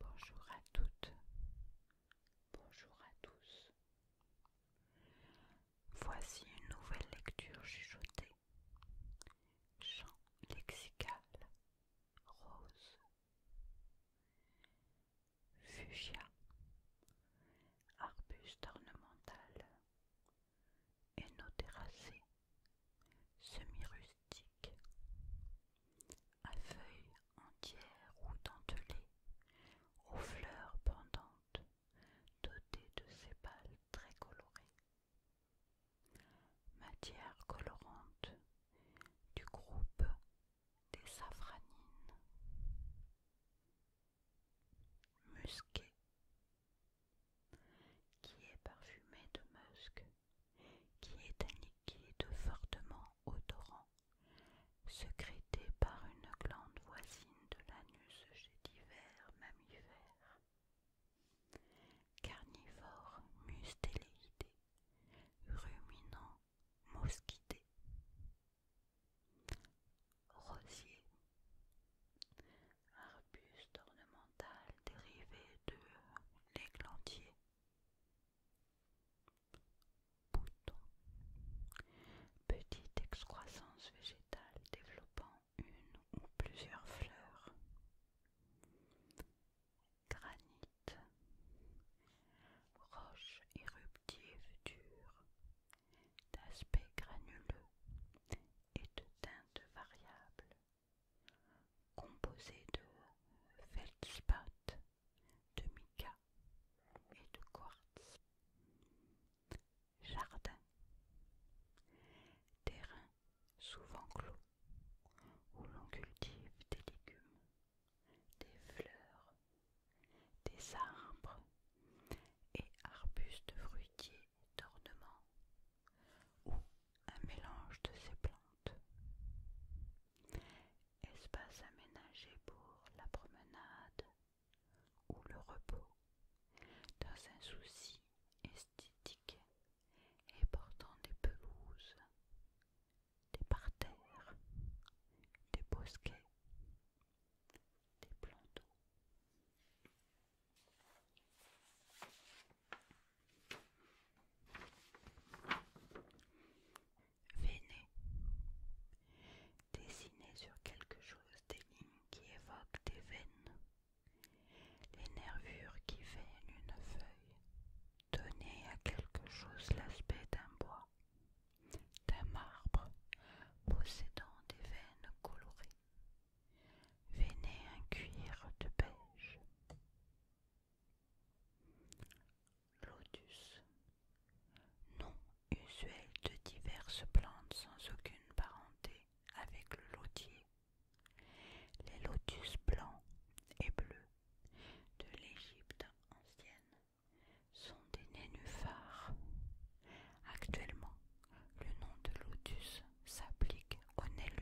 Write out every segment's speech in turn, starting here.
Bonjour à toutes, bonjour à tous. Voici une nouvelle lecture chuchotée. Chant lexical rose. Fugia arbuste ornemental, énotéracé semi-rustique, à feuilles entières ou dentelées, aux fleurs pendantes, dotées de sépales très colorées. Matière colorante du groupe des safranines. Musqué, qui est parfumée de musc qui est un liquide fortement odorant, Secrété par une glande voisine de l'anus chez divers mammifères. Carnivores mustélidés, ruminants, mosquidés. Rosier, arbuste ornemental dérivé de l'églantier. Bouton. Petite excroissance végétale développant une ou plusieurs fleurs. Granite. Roche éruptive dure, d'aspect granuleux et de teinte variable composé de feldspath, de mica et de quartz. Jardin. Terrain souvent clos où l'on cultive des légumes, des fleurs, des arbres et arbustes fruitiers d'ornements ou un mélange de ces plantes. Espace aménagé pour la promenade ou le repos dans un souci esthétique et portant des pelouses, des parterres, des bosquets, des plantons Véné. Dessinez sur quelque chose des lignes qui évoquent des veines. Les nervures qui veinent une feuille. Donner à quelque chose l'aspect d'un bois, d'un marbre possédant des veines colorées. Véné un cuir de beige. Lotus. Nom usuel de diverses plantes sans aucune parenté avec le lotier. Les lotus blancs et bleus de l'Égypte ancienne sont des nénuphars. Actuellement, le nom de lotus s'applique au nez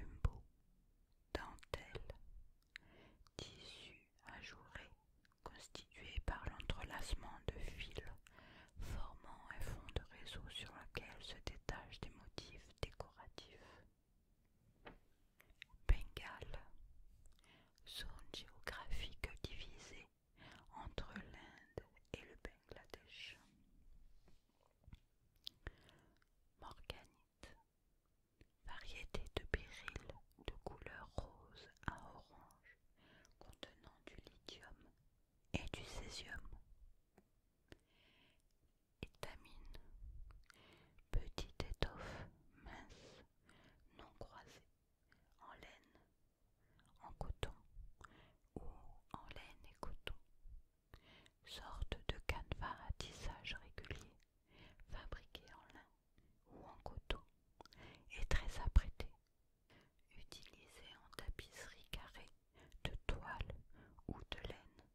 Dentelle. Tissu ajouré constitué par l'entrelacement de fils formant un fond de réseau sur lequel se détachent des motifs décoratifs. Bengale. Zone géographique divisée entre l'Inde et le Bangladesh. Morganite. Variété de béryl de couleur rose à orange contenant du lithium et du césium. Étamine. Petite étoffe mince, non croisée, en laine, en coton Oh, en laine et coton, sorte de canevas à tissage régulier, fabriqué en lin ou en coton et très apprêté, utilisé en tapisserie carrée de toile ou de laine,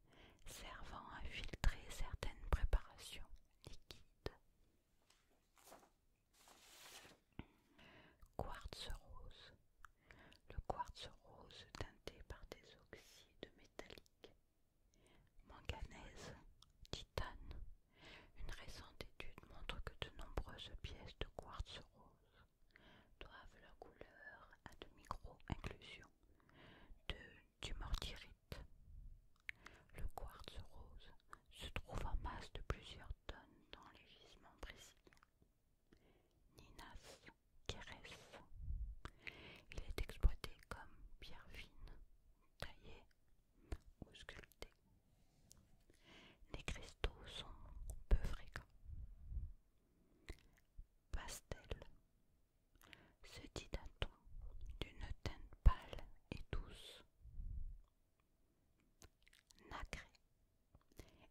servant à filtrer certaines préparations liquides. Quartz rose. Le quartz rose teinté par des oxydes métalliques. Manganèse, titane. Une récente étude montre que de nombreuses pièces de quartz rose doivent leur couleur à de micro-inclusions du mortirite. Le quartz rose se trouve en masse de plusieurs tonnes dans les gisements brésiliens. Ninas Kérès. Il est exploité comme pierre fine, taillée ou sculptée. Les cristaux sont peu fréquents. Pastel Ce dit d'un ton d'une teinte pâle et douce nacré.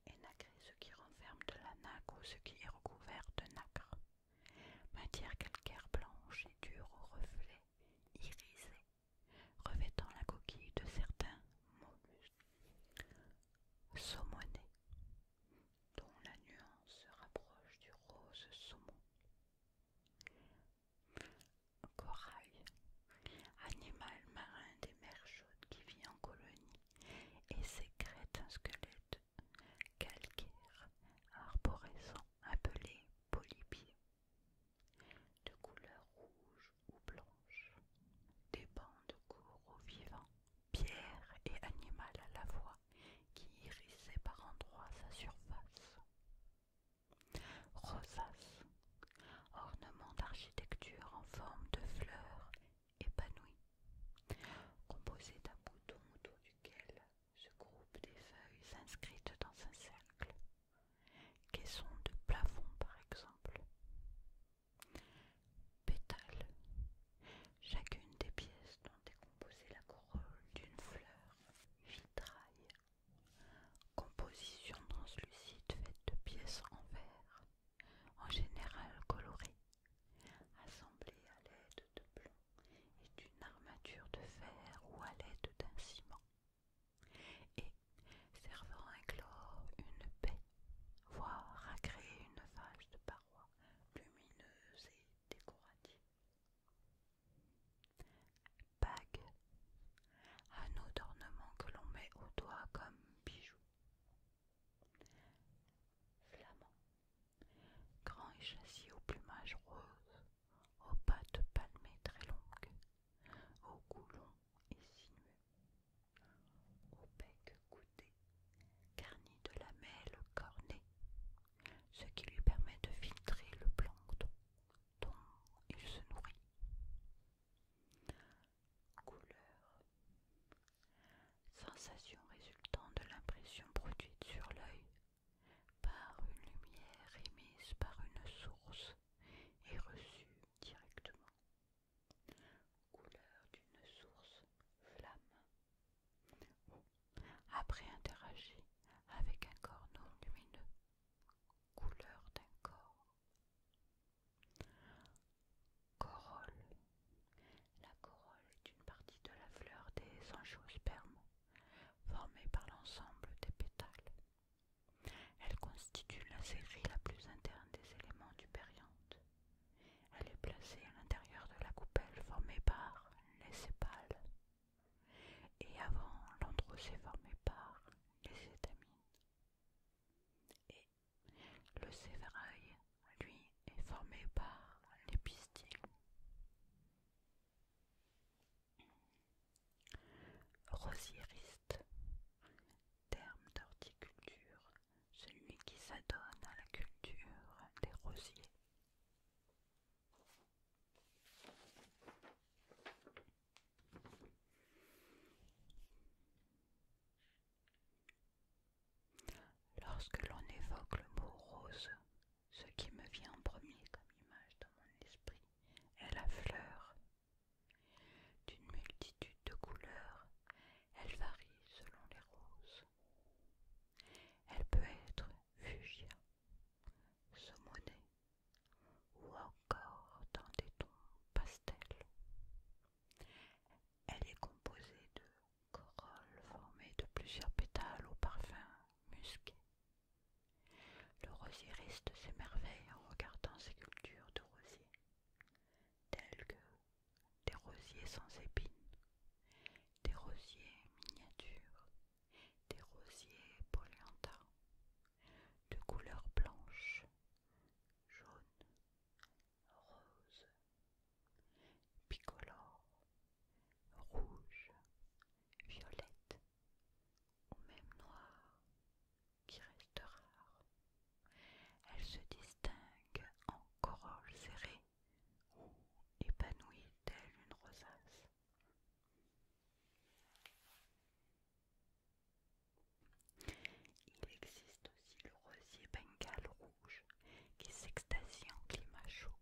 Et nacré, ce qui renferme de la nacre ou ce qui est recouvert de nacre. Matière calcaire blanche et dure au reflet irisé, revêtant la coquille de certains mollusques. Saumoné, dont la nuance se rapproche du rose saumon. Corail, animal marin des mers chaudes qui vit en colonie et sécrète un squelette calcaire arborescent appelé polypier, de couleur rouge ou blanche, des bandes de au vivant, pierre et animal à la fois qui irissaient par endroits sa surface. Rosace ornement d'architecture en forme de fleurs épanouies, composé d'un bouton autour duquel se groupent des feuilles inscrites dans un cercle, caissons de plafond par exemple. Pétales. Chacune des pièces dont est composée la corolle d'une fleur, vitrail Composition translucide faite de pièces en verre, en général colorées, assemblées à l'aide de plomb et d'une armature de fer ou à l'aide d'un ciment, et servant à éclore une baie, voire à créer une vache de parois lumineuse et décorative bagues, anneau d'ornement que l'on met au doigt comme bijou. Flamand, grand et châssis au plumage rose, aux pattes palmées très longues, au cou long et sinueux, au bec goudé, garni de lamelles cornées, ce qui lui permet de filtrer le plancton dont il se nourrit. Couleur Sensation résultant de l'impression produite sur l'œil par une lumière émise par une source et reçue directement. Couleur d'une source flamme ou après interagir avec un corps non lumineux couleur d'un corps. Corolle. La corolle est une partie de la fleur des angiospermes formée par l'ensemble des pétales. Elle constitue la série la plus interne des éléments du périanthe. Elle est placée à l'intérieur de la coupelle formée par les sépales et avant, l'andro s'est formé par les étamines. Et le sévérail lui, est formé par les pistils. Rosieriste, terme d'horticulture, celui qui s'adonne à la culture des rosiers. Lorsque l'on évoque le mot rose, ce qui me vient en premier comme image dans mon esprit est la fleur. D'une multitude de couleurs, elle varie selon les roses. Elle peut être fugia, saumonée, ou encore dans des tons pastels. Elle est composée de corolles formées de plusieurs pétales au parfum musqué. Le rosieriste s'émerveille en regardant ces cultures de rosiers, telles que des rosiers sans épines, des rosiers miniatures, des rosiers polenta de couleur blanche, jaune, rose, bicolore, rouge, violette ou même noire qui reste rare. Elles se distinguent en corolles serrées ou épanouies elle une rosace. Il existe aussi le rosier bengale rouge qui s'extasie en climat chaud.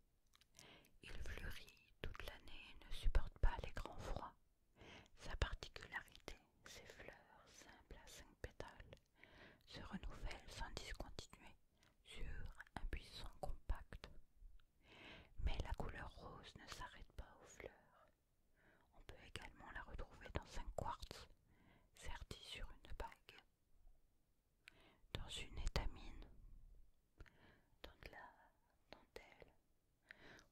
Il fleurit toute l'année et ne supporte pas les grands froids. Sa particularité, ses fleurs simples à cinq pétales se renouvellent sans discontinuer sur un buisson compact. Mais la couleur rose ne s'arrête pas aux fleurs. On peut également la retrouver dans un quartz serti sur une bague, dans une étamine, dans de la dentelle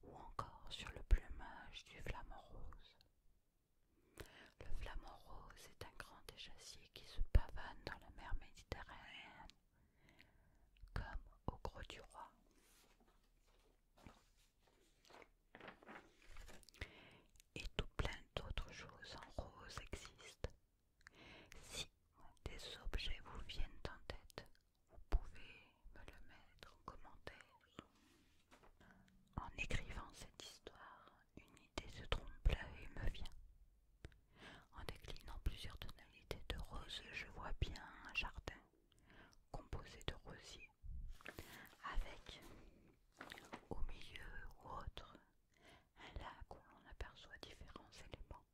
ou encore sur le plumage du flamant rose. Le flamant rose est un grand échassier qui se pavane dans la mer Méditerranée comme au gros du roi. Et tout plein d'autres choses en rose existent. Si des objets vous viennent en tête, vous pouvez me le mettre en commentaire. En écrivant cette histoire, une idée se trompe et me vient. En déclinant plusieurs tonalités de rose, je vois bien un jardin composé de rosiers, avec au milieu ou autre un lac où l'on aperçoit différents éléments,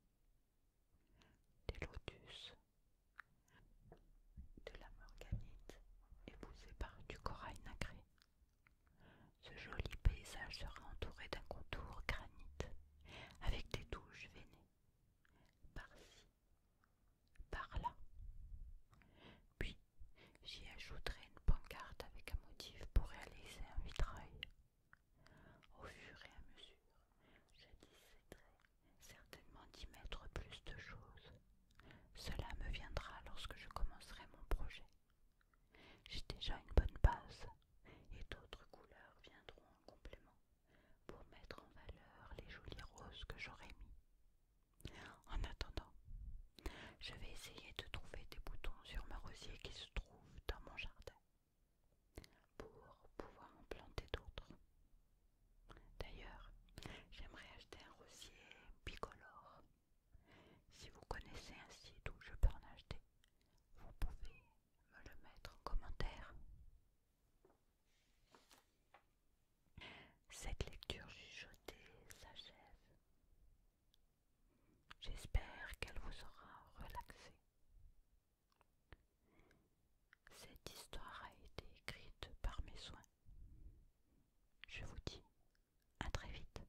des lotus, de la morganite épousée par du corail nacré, ce joli paysage sera entouré d'un contour granit avec des touches veinées par-ci, par-là. Puis j'y ajouterai une pancarte avec un motif pour réaliser un vitrail. Au fur et à mesure, je déciderai certainement d'y mettre plus de choses. Cela me viendra lorsque je commencerai mon projet. J'ai déjà une bonne base et d'autres couleurs viendront en complément pour mettre en valeur les jolies roses que j'aurai mis. En attendant, je vais essayer de trouver des boutons sur ma rosier qui se trouve dans mon jardin pour pouvoir en planter d'autres. D'ailleurs, j'aimerais acheter un rosier bicolore si vous connaissez un site où je peux en acheter, vous pouvez me le mettre en commentaire. Cette lecture chuchotée s'achève. J'espère qu'elle vous aura relaxé. Cette histoire a été écrite par mes soins. Je vous dis à très vite.